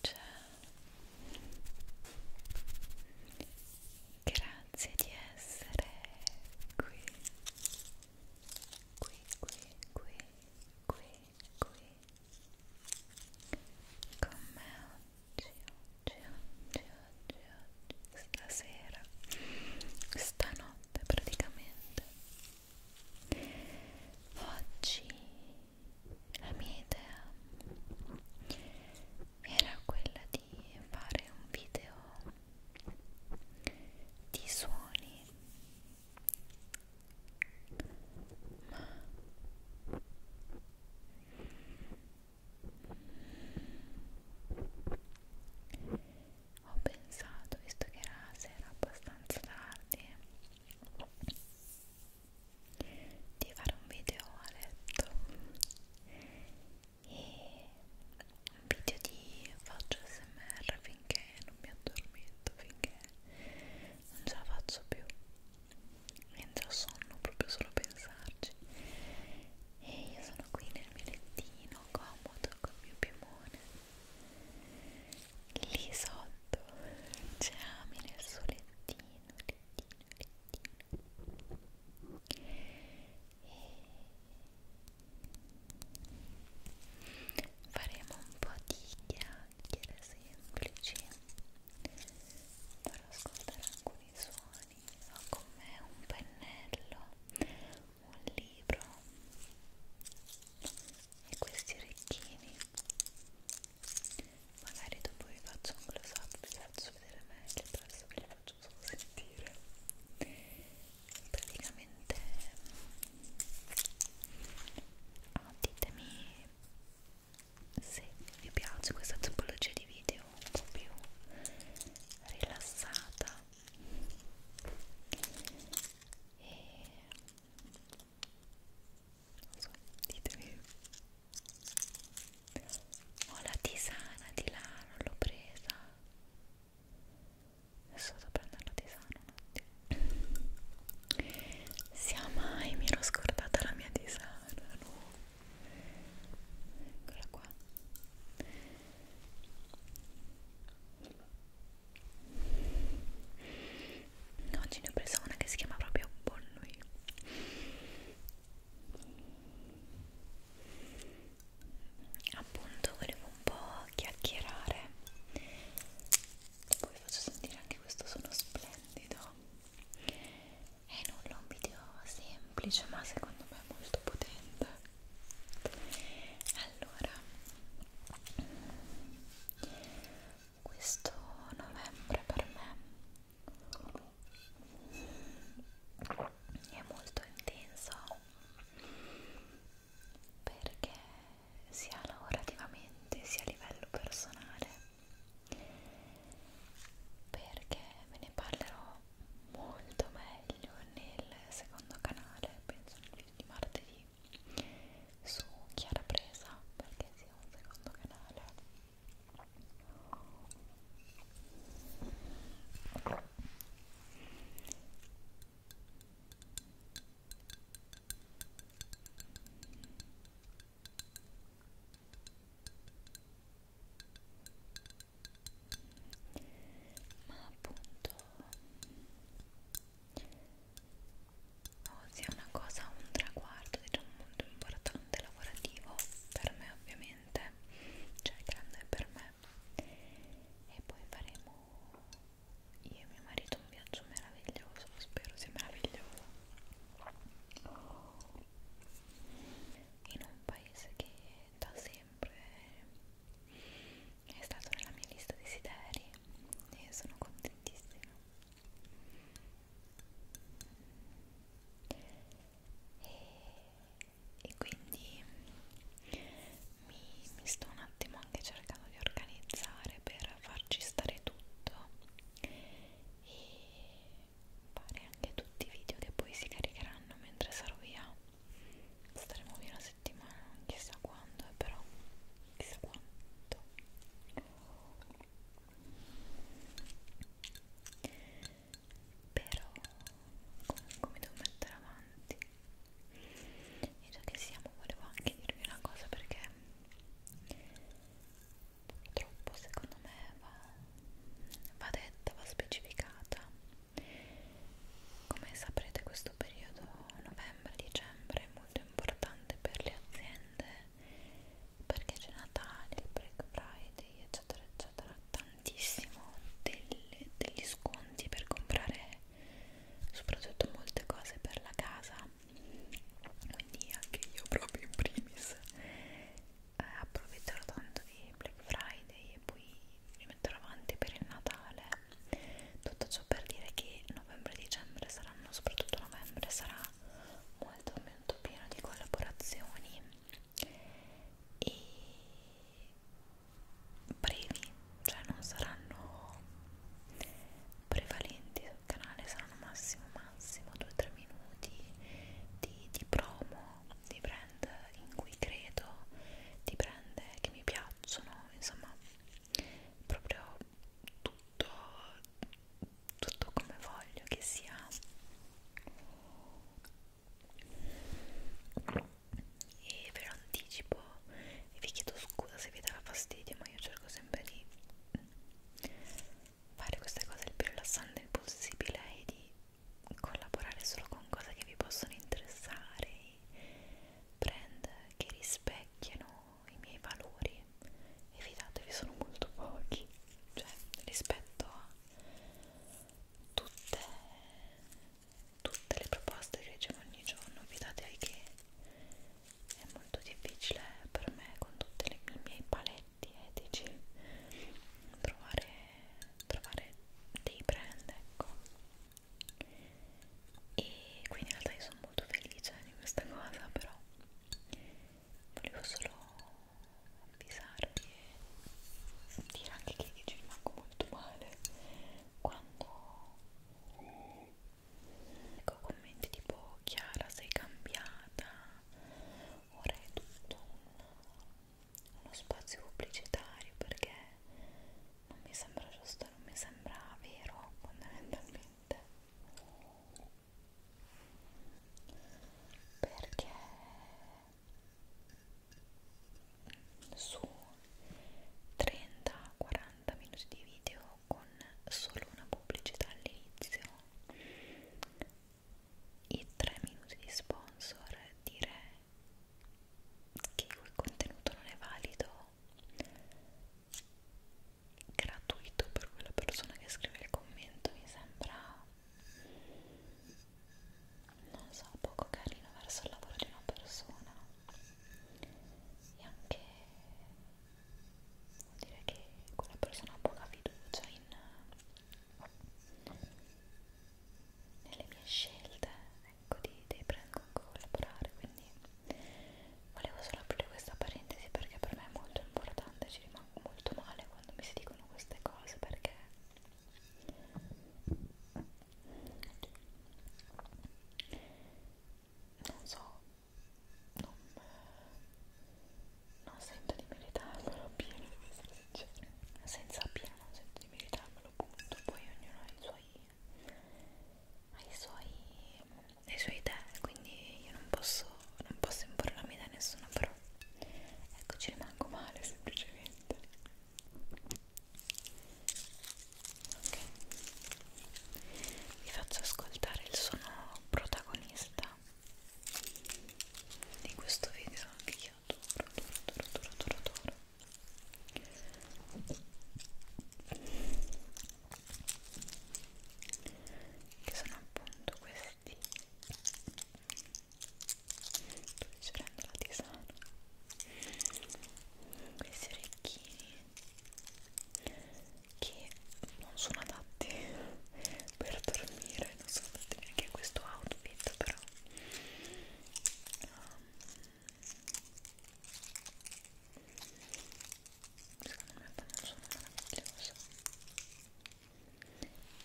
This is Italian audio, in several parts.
Ciao, grazie di essere qui, qui, qui, qui, qui, qui, con me oggi, oggi, oggi, oggi, oggi stasera, stanotte praticamente Oggi la mia idea era quella di fare un video di suoni, ma ho pensato, visto che era sera abbastanza tardi, di fare un video a letto e un video di faccio smr finché non mi addormento, finché non ce la faccio più entra sonno proprio solo pensarci e io sono qui nel mio lettino comodo col mio piumone lì sotto c'è Ami nel suo lettino, lettino, lettino e faremo un po' di chiacchiere semplici farò ascoltare alcuni suoni ho con me un pennello un libro e questi orecchini magari dopo vi faccio un close up vi faccio vedere meglio adesso ve li faccio solo sentire praticamente oh, ditemi se vi piace questa tipologia di video un po' più rilassata e non so, ditemi ho la tisana di là, non l'ho presa adesso vado a prendere la tisana un attimo sia mai, mi ero scordata la mia tisana no eccola qua oggi ne ho presa una che si chiama proprio Bonnui appunto volevo un po' chiacchierare poi faccio sentire anche questo suono splendido è nulla un video semplice ma secondo me molto potente allora questo novembre per me è molto intenso perché sia lavorativamente sia a livello personale perché ve ne parlerò molto meglio nel secondo canale penso nel di martedì su Chiara Presa perché sia un secondo canale ma appunto o sia una cosa, un traguardo diciamo molto importante lavorativo per me ovviamente cioè grande per me e poi faremo io e mio marito un viaggio meraviglioso spero sia meraviglioso in un paese che da sé sempre è stato nella mia lista desideri e sono contentissima e, e quindi mi, mi sto un attimo anche cercando di organizzare per farci stare tutto e fare anche tutti i video che poi si caricheranno mentre sarò via staremo via una settimana, non eh, chissà quando, però chissà quanto però comunque mi devo mettere avanti e già che siamo volevo anche dirvi una cosa perché purtroppo secondo me va, va detta, va specificata come saprete questo periodo novembre-dicembre è molto importante per le aziende perché c'è Natale, il Black Friday eccetera eccetera, tantissimo delle, degli sconti per comprare soprattutto molte cose per la casa quindi anche io proprio in primis eh, approfitterò tanto di Black Friday e poi mi metterò avanti per il Natale tutto ciò per dire che novembre e dicembre saranno soprattutto novembre sarà molto molto pieno di collaborazioni e brevi cioè non saranno prevalenti sul canale saranno massimo massimo 2-3 minuti di, di promo di brand in cui credo di brand che mi piacciono insomma proprio tutto tutto come voglio che sia e ve lo anticipo e vi chiedo scusa se vi dava fastidio ma io cerco sempre di fare queste cose il più rilassante possibile e di collaborare solo con cose che vi possono interessare brand che rispecchiano i miei valori e fidatevi sono molto pochi cioè rispetto a tutte, tutte le proposte che ricevo ogni giorno fidatevi che è molto difficile per me con tutti i miei paletti etici trovare, trovare dei brand ecco e quindi in realtà io sono molto felice di questa cosa però volevo solo avvisarvi e dire anche che io ci rimango molto male quando ecco commenti tipo Chiara sei cambiata ora è tutto un, uno spazio pubblicitario perché non mi sembra giusto, non mi sembra vero fondamentalmente perché su 30-40 minuti di video con solo una pubblicità all'inizio i 3 minuti di sponsor dire che quel contenuto non è valido gratuito per quella persona che scrive il commento mi sembra non so poco carino verso il lavoro di una persona e anche vuol dire che quella persona ha poca fiducia in nelle mie scelte ecco di, dei brand con cui collaborare quindi volevo solo aprire questa parentesi perché per me è molto importante ci rimango molto male quando mi si dicono queste cose perché non so non, non sento di meritarmelo pieno, devo essere sincera senza pieno non sento di meritarmelo punto poi ognuno ha i suoi ai suoi, ai suoi idee, quindi io non posso, non posso imporre la mia idea a nessuno, però ecco ci rimango male semplicemente. Ok, vi faccio ascoltare il suono protagonista di questo video che io adoro, adoro, adoro, adoro, adoro che sono appunto questi dove ci prendo la tisana questi orecchini che non sono adatti per dormire non sono adatti neanche a questo outfit però um, secondo me poi non sono meraviglioso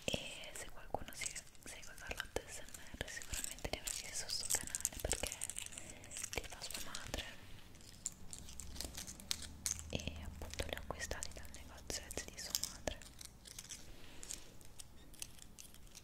e se qualcuno si segue Carlotta SMR sicuramente li avrà visto sul canale perché li fa sua madre e appunto li ho acquistati dal negozio di sua madre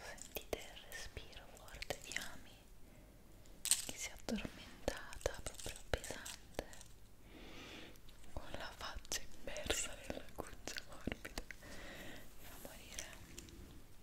Sentite il respiro forte di Ami che si è addormentata, proprio pesante con la faccia immersa nella cuccia morbida da morire Ecco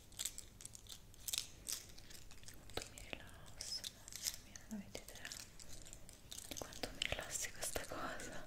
Quanto mi rilasso, mamma mia, non avete idea di quanto mi rilassi questa cosa. Ecco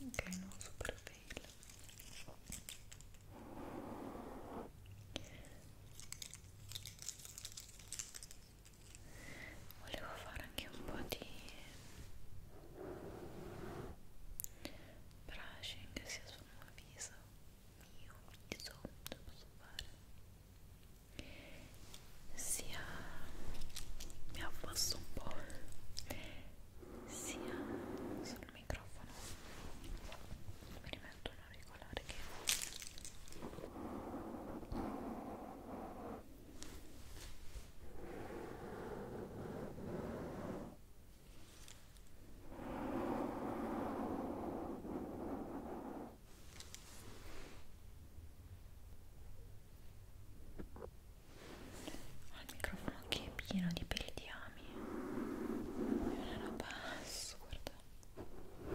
anche il nuovo profilo volevo fare anche un po' di brushing sia sul mio viso mio viso lo posso fare sia mi abbasso un sia sul microfono mi rimetto un auricolare che Ecco ho il microfono che è pieno di peli di ami. È una roba assurda. Io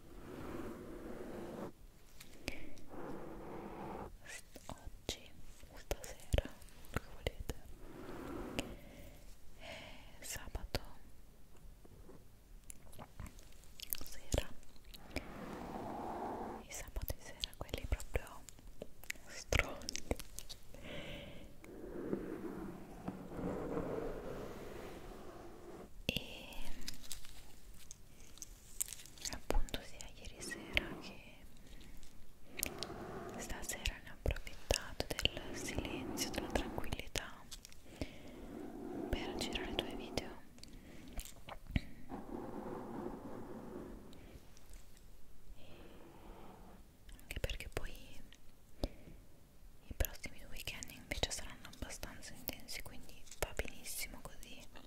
oggi o stasera come volete e eh, sabato sera i sabati sera quelli proprio stronzi e appunto sia ieri sera che stasera ne ho approfittato del silenzio, della tranquillità per girare i tuoi video e anche perché poi i prossimi due weekend invece saranno abbastanza intensi quindi va benissimo così non,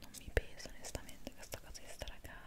non mi pesa onestamente questa cosa di stare a casa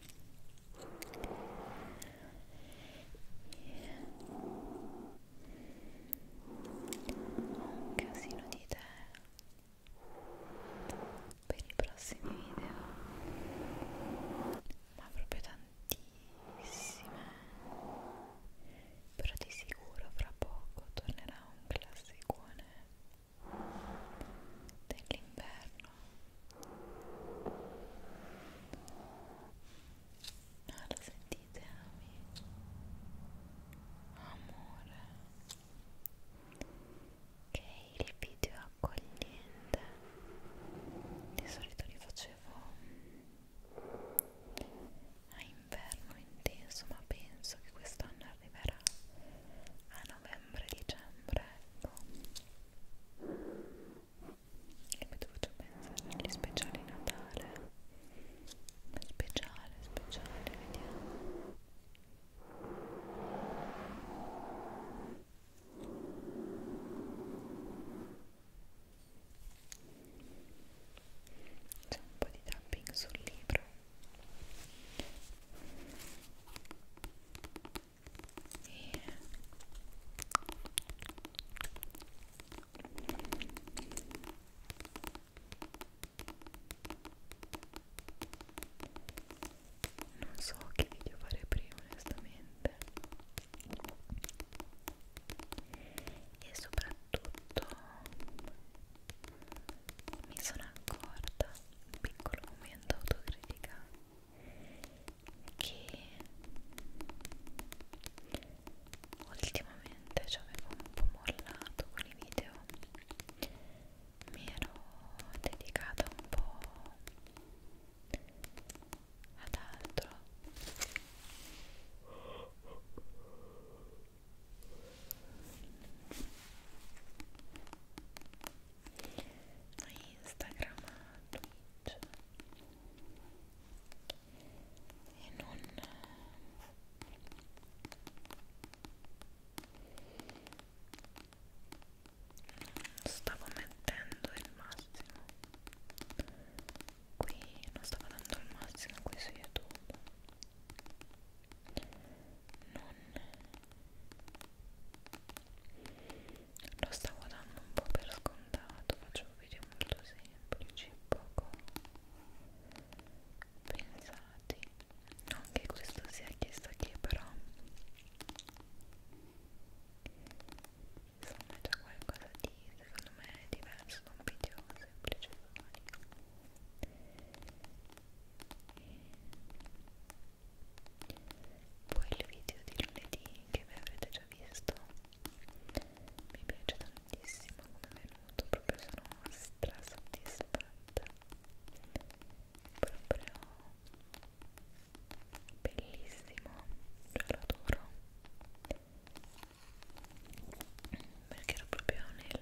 ho un casino di idee per i prossimi video ma proprio tantissime però di sicuro fra poco tornerà un classicone dell'inverno ah, lo sentite amici? amore che il video accogliente di solito li facevo a inverno intenso ma penso che quest'anno arriverà a novembre novembre, dicembre, ecco e mi dovuto pensare agli speciali Natale speciale, speciale, vediamo c'è un po' di tapping sul libro e non so che video fare prima onestamente e soprattutto mi sono accorta un piccolo momento momento autocritica che ultimamente ci avevo un po' mollato con i video mi ero dedicata un po' ad altro a Instagram, a Twitch e non stavo mettendo il massimo qui non stavo dando il massimo qui su youtube non lo stavo dando un po' per scontato faccio un video molto semplice poco pensati non che questo sia chiesto che però insomma è già qualcosa di secondo me è diverso da un video semplice e poi il video di lunedì che vi avrete già visto mi piace tantissimo come è venuto proprio sono stra soddisfatta proprio bellissimo cioè lo adoro perché ero proprio nel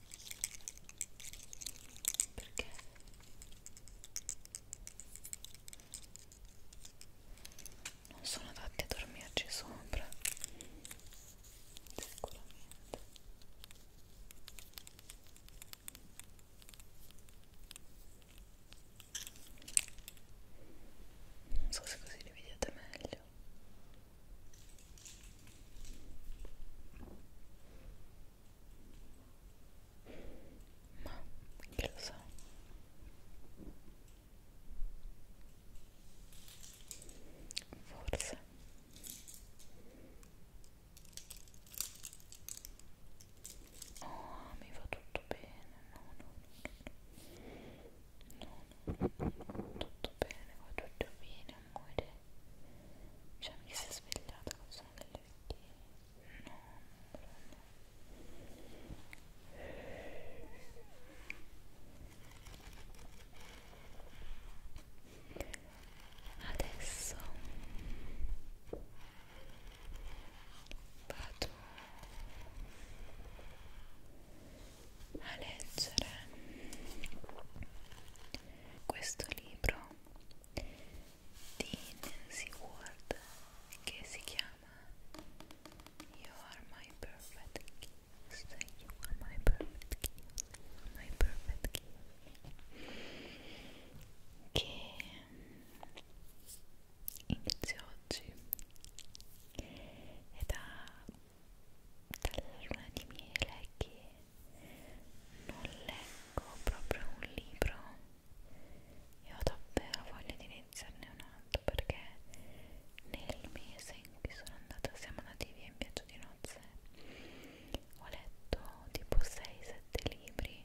perché non sono adatti a dormirci sopra sicuramente non so se così li vedete meglio ma che lo so Forse Oh, mi va tutto bene No, no, no No, no, no, no. tutto bene, va tutto bene amore cioè mi si è svegliata col suono delle orecchie no, no adesso vado a leggere questo libro di Nancy Ward che si chiama You Are My Perfect Kiss You Are My Perfect Kiss My Perfect Kiss che inizia oggi ed ha dalla luna di miele che non leggo proprio un libro e ho davvero voglia di iniziarne un altro perché nel mese in cui sono andata siamo andati via in viaggio di nozze ho letto tipo 6-7 libri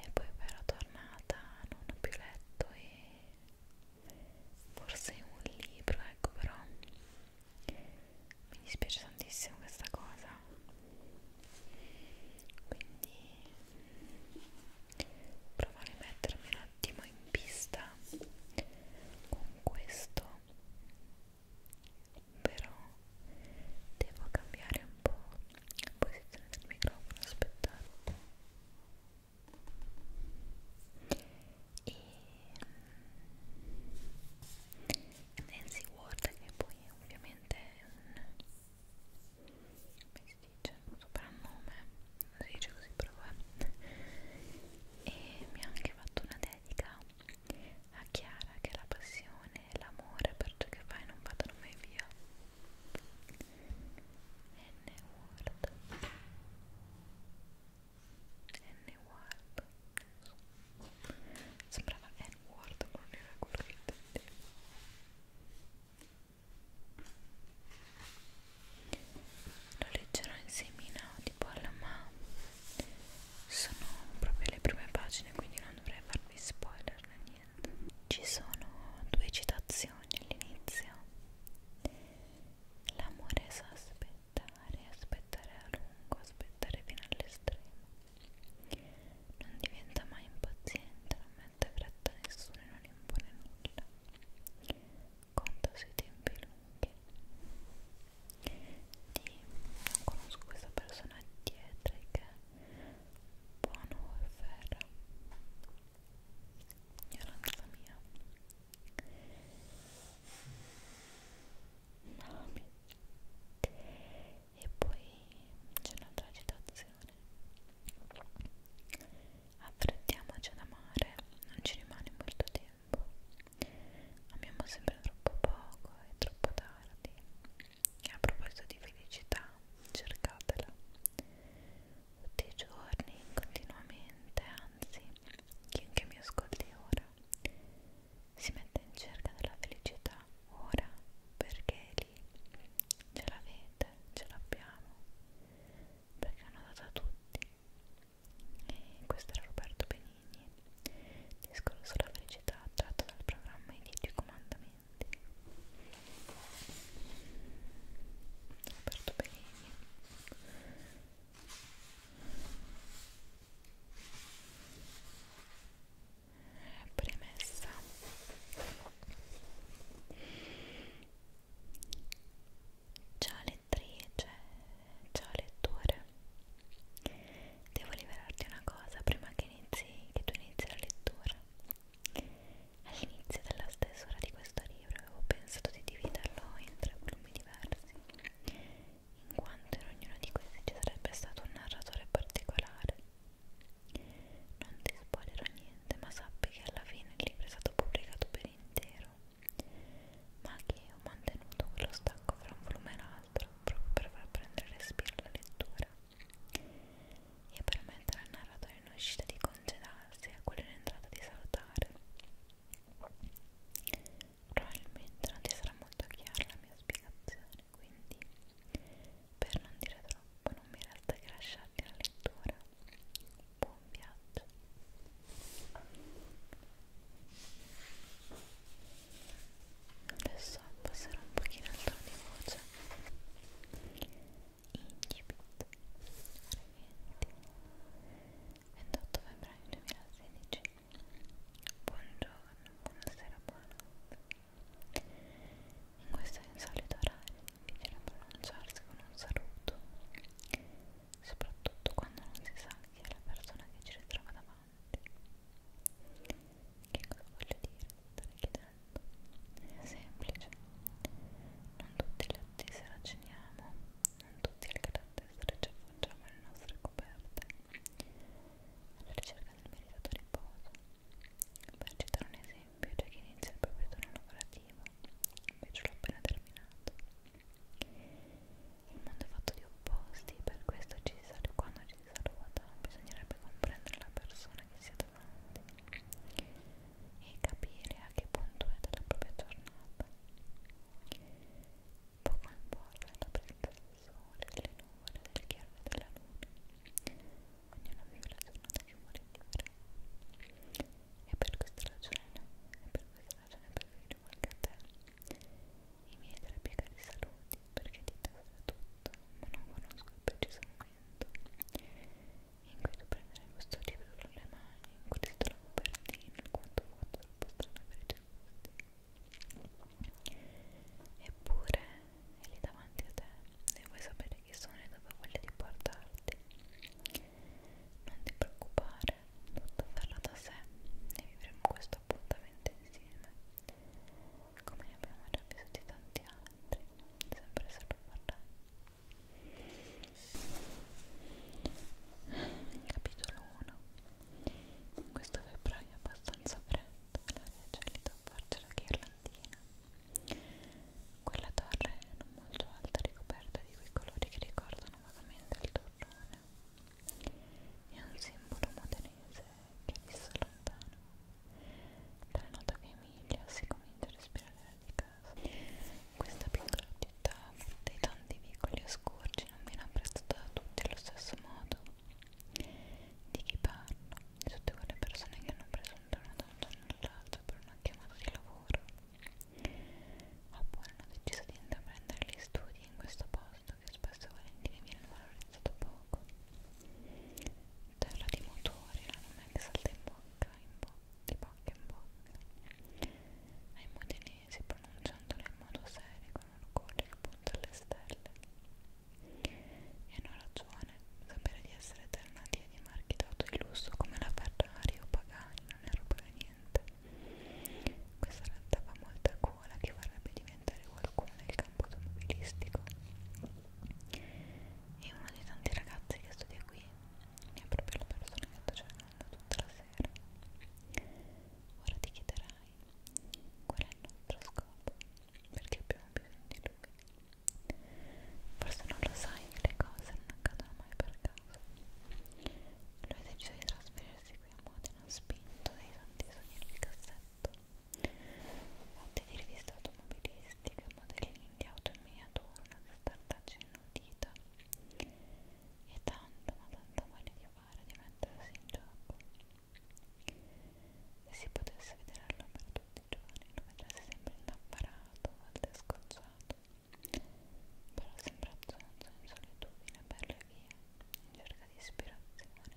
e poi però tornata non ho più letto e forse un libro ecco però mi dispiace tantissimo questa cosa quindi provo a rimettermi un attimo in pista con questo però devo cambiare un po' la posizione del microfono aspettate e Nancy Ward che poi è ovviamente un come si dice? un soprannome non si dice così però eh. e mi ha anche fatto una dedica a Chiara che la passione e l'amore per ciò che fai non vadano mai via N Ward N-Ward sembrava N-Ward ma non era quello che intendevo lo leggerò insieme in Audible ma sono proprio le prime pagine quindi non dovrei farvi spoiler né niente ci sono due citazioni all'inizio L'amore è sospetto aspettare, aspettare a lungo, aspettare fino all'estremo. Non diventa mai impaziente, non mette fretta a nessuno e non impone nulla. Conta sui tempi lunghi. Di, non conosco questa persona dietro che buono warfare. Io la mia. Nami e poi c'è un'altra citazione affrettiamoci ad amare non ci rimane molto tempo amiamo sempre troppo poco e troppo tardi e a proposito di felicità cercatela tutti i giorni continuamente anzi chiunque mi ascolti ora si mette in cerca della felicità ora perché lì ce l'avete, ce l'abbiamo perché hanno dato a tutti e questo era Roberto Benigni discorso sulla felicità tratto dal programma I Dieci Comandamenti Roberto Benigni Premessa Ciao lettrice, ciao lettore Devo liberarti una cosa prima che, inizi, che tu inizi la lettura All'inizio della stesura di questo libro avevo pensato di dividerlo in tre volumi diversi in quanto in ognuno di questi ci sarebbe stato un narratore particolare. Non ti spoilerò niente, ma sappi che alla fine il libro è stato pubblicato per intero, ma che ho mantenuto quello stacco fra un volume e l'altro proprio per far prendere respiro alla lettura e permettere al narratore in uscita di congedarsi e a quello in entrata di salutare probabilmente non ti sarà molto chiara la mia spiegazione quindi per non dire troppo non mi resta che lasciarti la lettura buon viaggio adesso passerò un pochino al tono di voce incipit 28 febbraio 2016 Buongiorno, buonasera, buonanotte. In questo insolito orario difficile pronunciarsi con un saluto, soprattutto quando non si sa chi è la persona che ci ritrova davanti. Che cosa voglio dire? Stare chiedendo. È semplice. Non tutti gli otti se racciniamo non tutti al grande stretch affacciamo le nostre coperte alla ricerca del meritato riposo per citare un esempio c'è chi inizia il proprio turno lavorativo invece l'ho appena terminato il mondo è fatto di opposti per questo ci si saluta quando ci si saluta bisognerebbe comprendere la persona che si è davanti e capire a che punto è della propria giornata Pokémon Ball è la presenza del sole, delle nuvole, del chiaro e della luna. Ognuna vive la giornata che vuole vivere. E per questa ragione, e per questa ragione preferisco anche a te. I miei tre piegati saluti, perché ti tasserà tutto, ma non conosco il preciso momento in cui tu prenderai questo libro con le mani, in cui ti trovo per te, in quanto vuoto dal posto per i tuoi gusti. Eppure è lì davanti a te e vuoi sapere chi sono e dove voglio di portarti. Non ti preoccupare, tutto farlo da sé e vivremo questo appuntamento insieme. Come ne abbiamo già vissuti tanti altri, sempre solo parlare. Capitolo 1 in questo febbraio abbastanza freddo la gelida a farci la ghirlandina quella torre non molto alta ricoperta di quei colori che ricordano vagamente il torrone è un simbolo modenese che visse lontano dalla nota che Emilia si comincia a respirare di casa questa piccola città dei tanti vicoli oscurci non viene apprezzato da tutti allo stesso modo di chi parlo di tutte quelle persone che hanno preso un giorno da un giorno all'altro per una chiamata di lavoro oppure hanno deciso di intraprendere gli studi in questo posto che spesso e volentieri viene valorizzato poco terra di motori la nome che salta in bocca in bocca di bocca in bocca ai modenesi pronunciandole in modo serio con una cuore che punta alle stelle e una ragione sapere di essere eternati e di marchi d'auto di lusso come la Ferrari o Pagani non ero per niente questa realtà fa molta gola che vorrebbe diventare qualcuno nel campo automobilistico e uno dei tanti ragazzi che studia qui è proprio la persona che sto cercando tutta la sera ora ti chiederai sai qual è il nostro scopo, perché abbiamo bisogno di lui. Forse non lo sai che le cose non accadono mai per caso. Lui ha deciso di trasferirsi qui a Modena, spinto dai tanti sogni nel cassetto. Fatti di riviste automobilistiche, modellini di auto in miniatura, una cartaccia inutita e tanto ma tanto voglia di fare, di mettersi in gioco se si potesse vedere all'opera tutti i giorni lo vedresti sempre innapparato, a volte scocciato però sembra zonzo in solitudine per le vie in cerca di ispirazione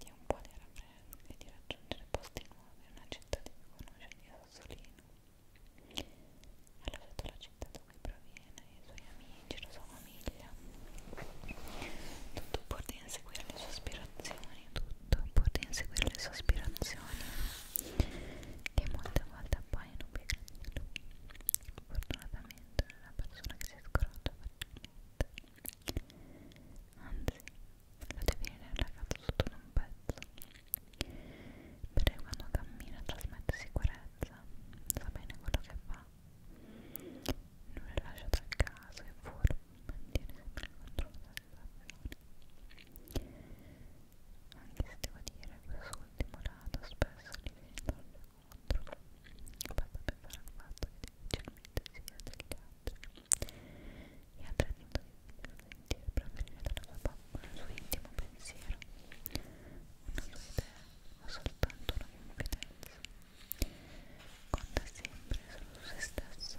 di un po' di raffresco e di raggiungere posti nuovi una città di cui conosce di Sassolino ha lasciato la città da cui proviene, i suoi amici, la sua famiglia tutto pur di inseguire le sue aspirazioni tutto pur di inseguire le sue aspirazioni che molte volte appaiono più grandi di lui fortunatamente non è una persona che si scoraggia facilmente anzi lo deviene ragazzo sotto un pezzo perché quando cammina trasmette sicurezza sa bene quello che fa fa non è lasciato al caso e forma mantiene sempre il controllo della situazione anche se devo dire quest'ultimo lato spesso li viene contro basta pensare al fatto che difficilmente sia degli altri e ha tradito di sentire provenire dalla sua pappa un suo intimo pensiero una sua idea ma soltanto una confidenza. Conta sempre solo su se stesso.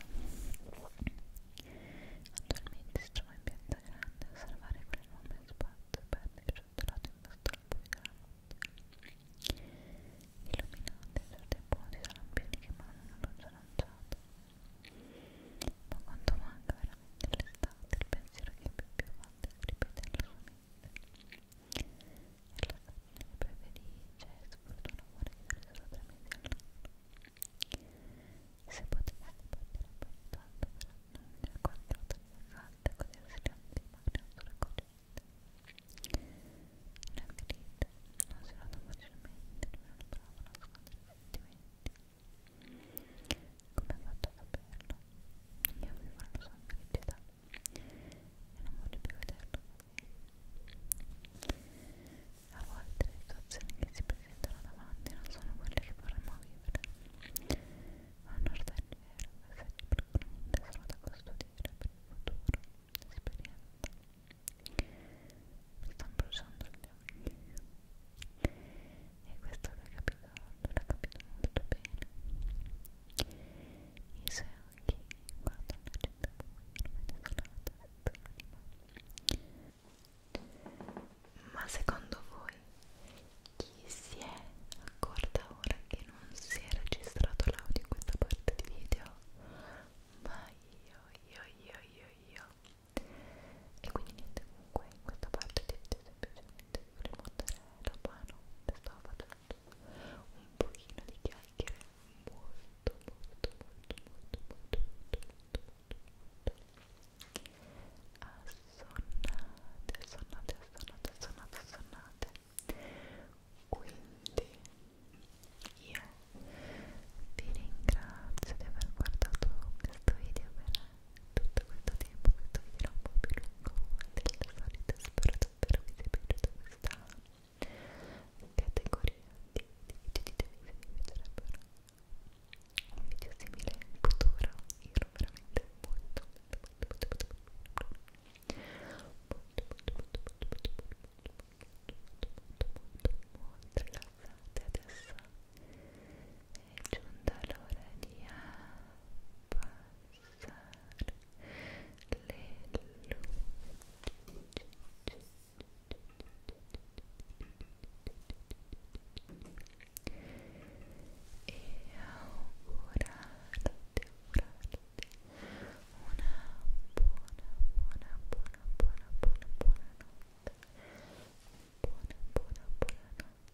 Attualmente si trova in piazza grande a osservare quell'enorme spazio e perdere ciottolato in basso al buio Illuminate certi punti da lampioni che mandano luce lanciata. Ma quanto manca veramente l'estate, il pensiero che più più volte ripete nella sua mente relazione preferisce sfortuna vuole vivere solo tre mesi all'anno se potete partire un po' tanto per andare quattro o tre fatte così rischiamo di rimanere sulle coscienze la ferita non si nota facilmente non è bravo a nascondere i sentimenti come ha fatto a saperlo io mi fanno sempre felicità e non voglio più vederlo a volte le situazioni che si presentano davanti non sono quelle che vorremmo vivere ma un orgoglio vero è sempre un tesoro da custodire per il futuro l'esperienza mi stanno bruciando gli occhi e questo l'ho capito, l'ho capito molto bene i suoi occhi guardano la città buia ma secondo voi chi si è accorta ora che non si è registrato l'audio in questa parte di video? ma io, io, io, io, io e quindi niente comunque in questa parte ti semplicemente mozzarella, buono, stavo facendo un pochino di chiacchiere molto molto molto molto molto molto molto molto assonnate, assonnate, assonnate, assonnate, assonnate quindi io vi ringrazio di aver guardato questo video per tutto questo tempo questo video un po' più lungo del solito spero davvero vi sia piaciuta questa categoria di, di video ditemi se vi piacerebbero un video simile in futuro io ero veramente molto molto molto molto molto molto molto rilassate adesso è giunta l'ora di apparire abbassare le luci e augurarti, augurarti una buona, buona, buona, buona, buona, buona notte buona, buona, buona notte